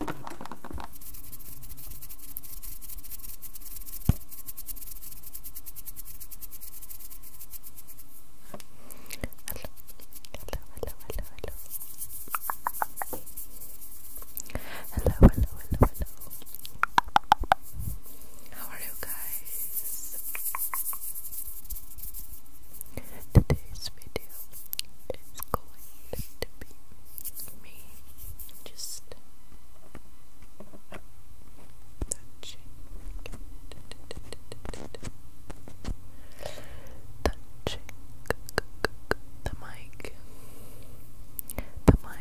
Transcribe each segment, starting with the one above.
hello, hello, hello, how are you guys? Today's video is going to be me just touching touching the mic the mic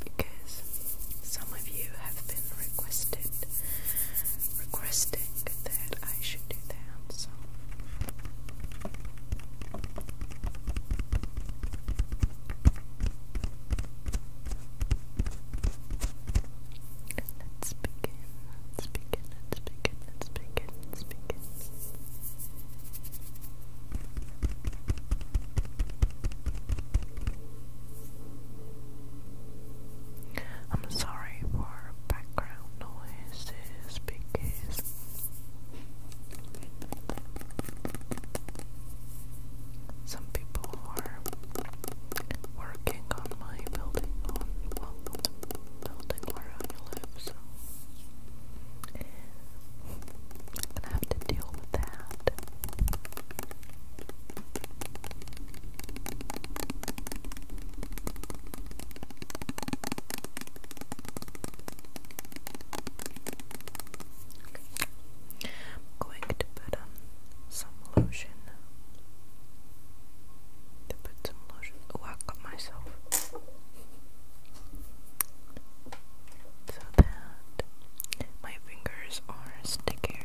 because some of you have been requested requesting that I should do Let's begin, let's begin, let's begin, let I'm sorry for background noises because some people are working on my building, on building where I live, so I'm going have to deal with that. I'm going to put um, some lotion. To put some lotion. Oh, myself. So that my fingers are stickier.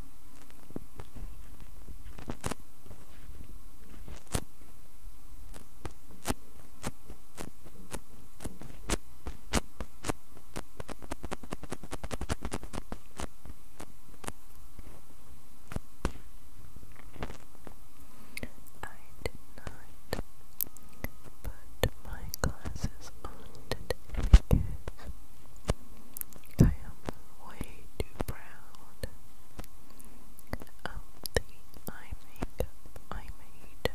I did not put my glasses responded in I am way too proud of the eye makeup I made.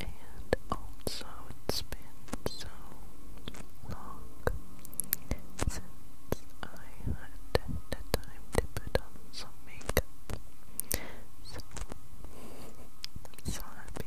And also, it's been so long since I had the time to put on some makeup. I'm so happy.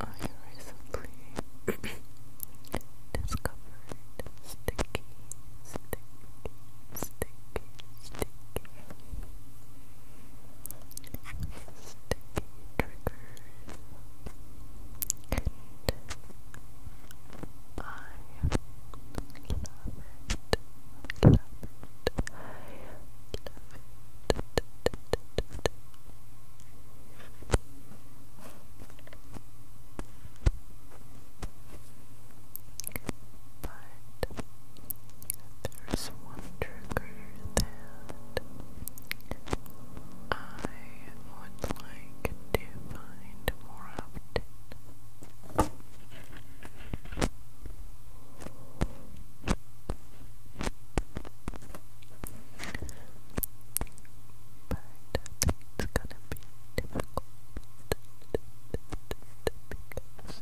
I recently discovered sticky, sticky, sticky, sticky, sticky triggers, and I love it. Love it. I love it. But there's one trigger that I would like to find more often. But I it's gonna be difficult because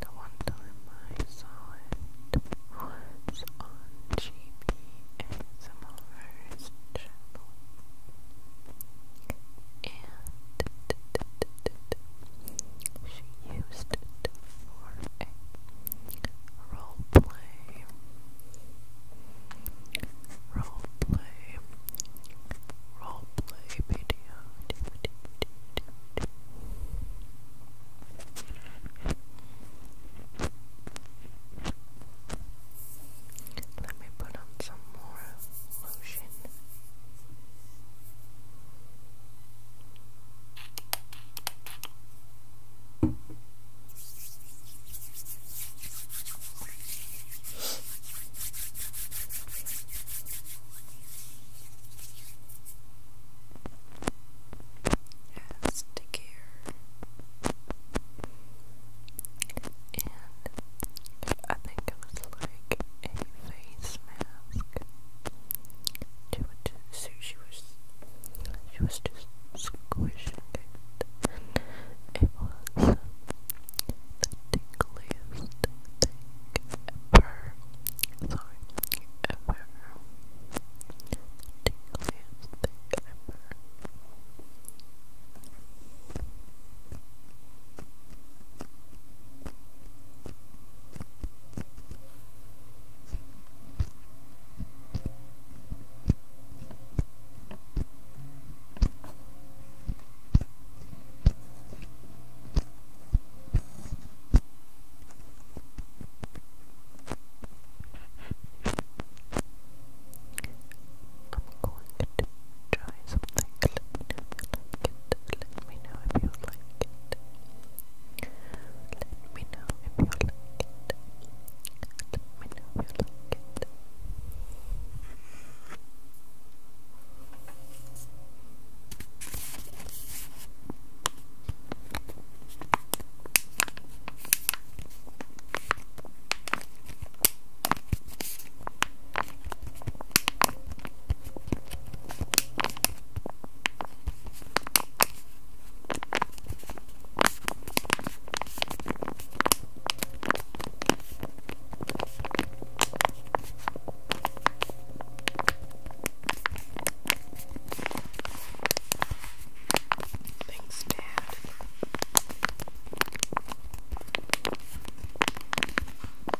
the, one time I saw it was on GBASMR's channel she used it for role play, role play, role play video. Let me put on some more lotion. As stickier, and I think it was like a face mask. She was, just squishing it, was the tingliest thing ever. Sorry, ever. The thing ever. I'm going to try something. Let you let me know if you like it. Let me know if you like it. Let me know if you like it. Thanks, Dad.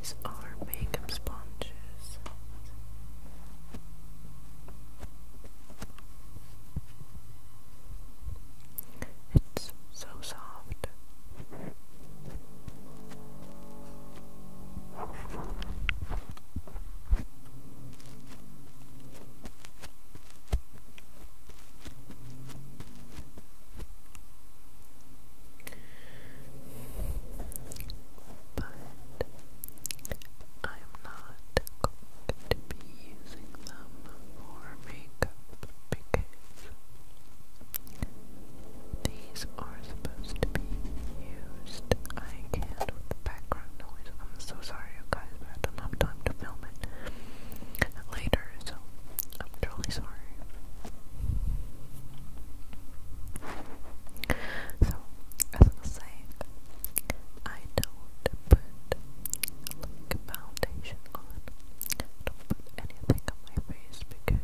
These are makeup sponges. It's so soft. But I'm not going to be using them for makeup because these are supposed to be used. I can't with background noise. I'm so sorry, guys, but I don't have time to film it later, so I'm totally sorry. So, as I was saying, I don't put foundation on. I don't put anything on my face because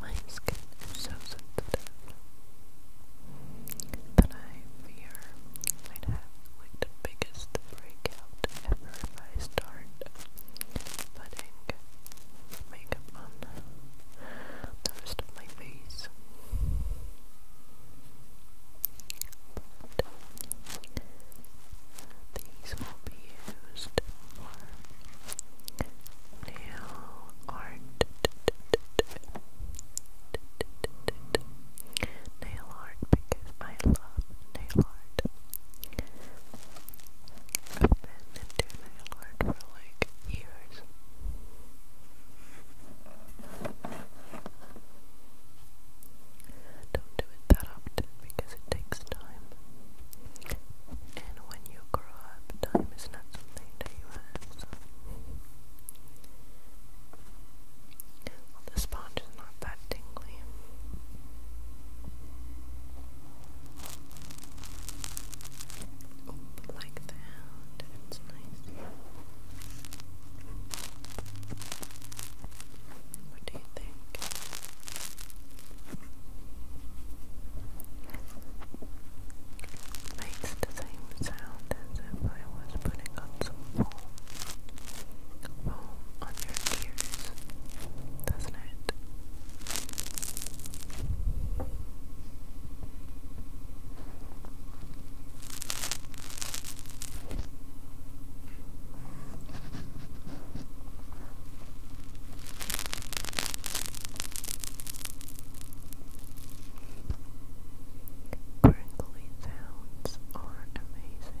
my skin is so sensitive that I fear I'd have like the biggest breakout ever if I start putting makeup on the rest of my face. But will be used nail art. Nail art because I love nail art. I've been into nail art for like years. Don't do it that often because it takes time. And when you grow up, time is not something that you have. Well, the sponge is not that tingly. Oh, like that. It's nice. What do you think? It makes the same sound as if I was putting on some Foam on your ears, doesn't it? Crinkly sounds are amazing.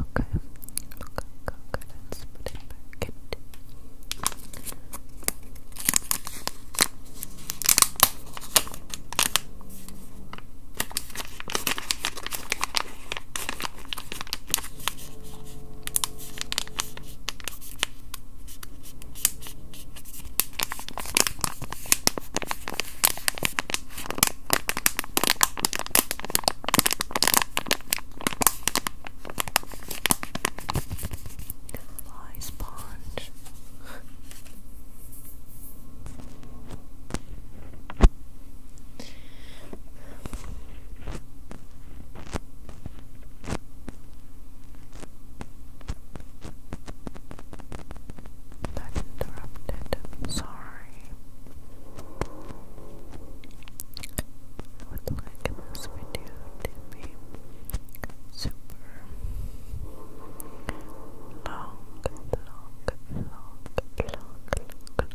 Okay. Okay, okay, Let's put it in. Okay. Fly sponge. That interrupted. Sorry. I would like this video to be super long, long, long, long, long, long, but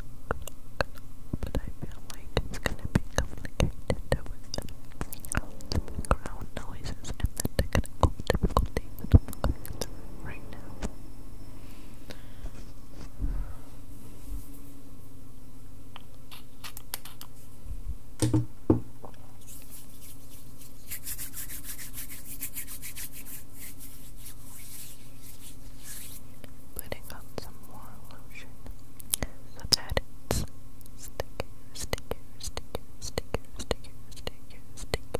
I feel like it's gonna be complicated with the background noises and the technical difficulties that i right now. Putting on some more lotion so that it's sticky, sticky, sticky, sticky, sticky, sticky,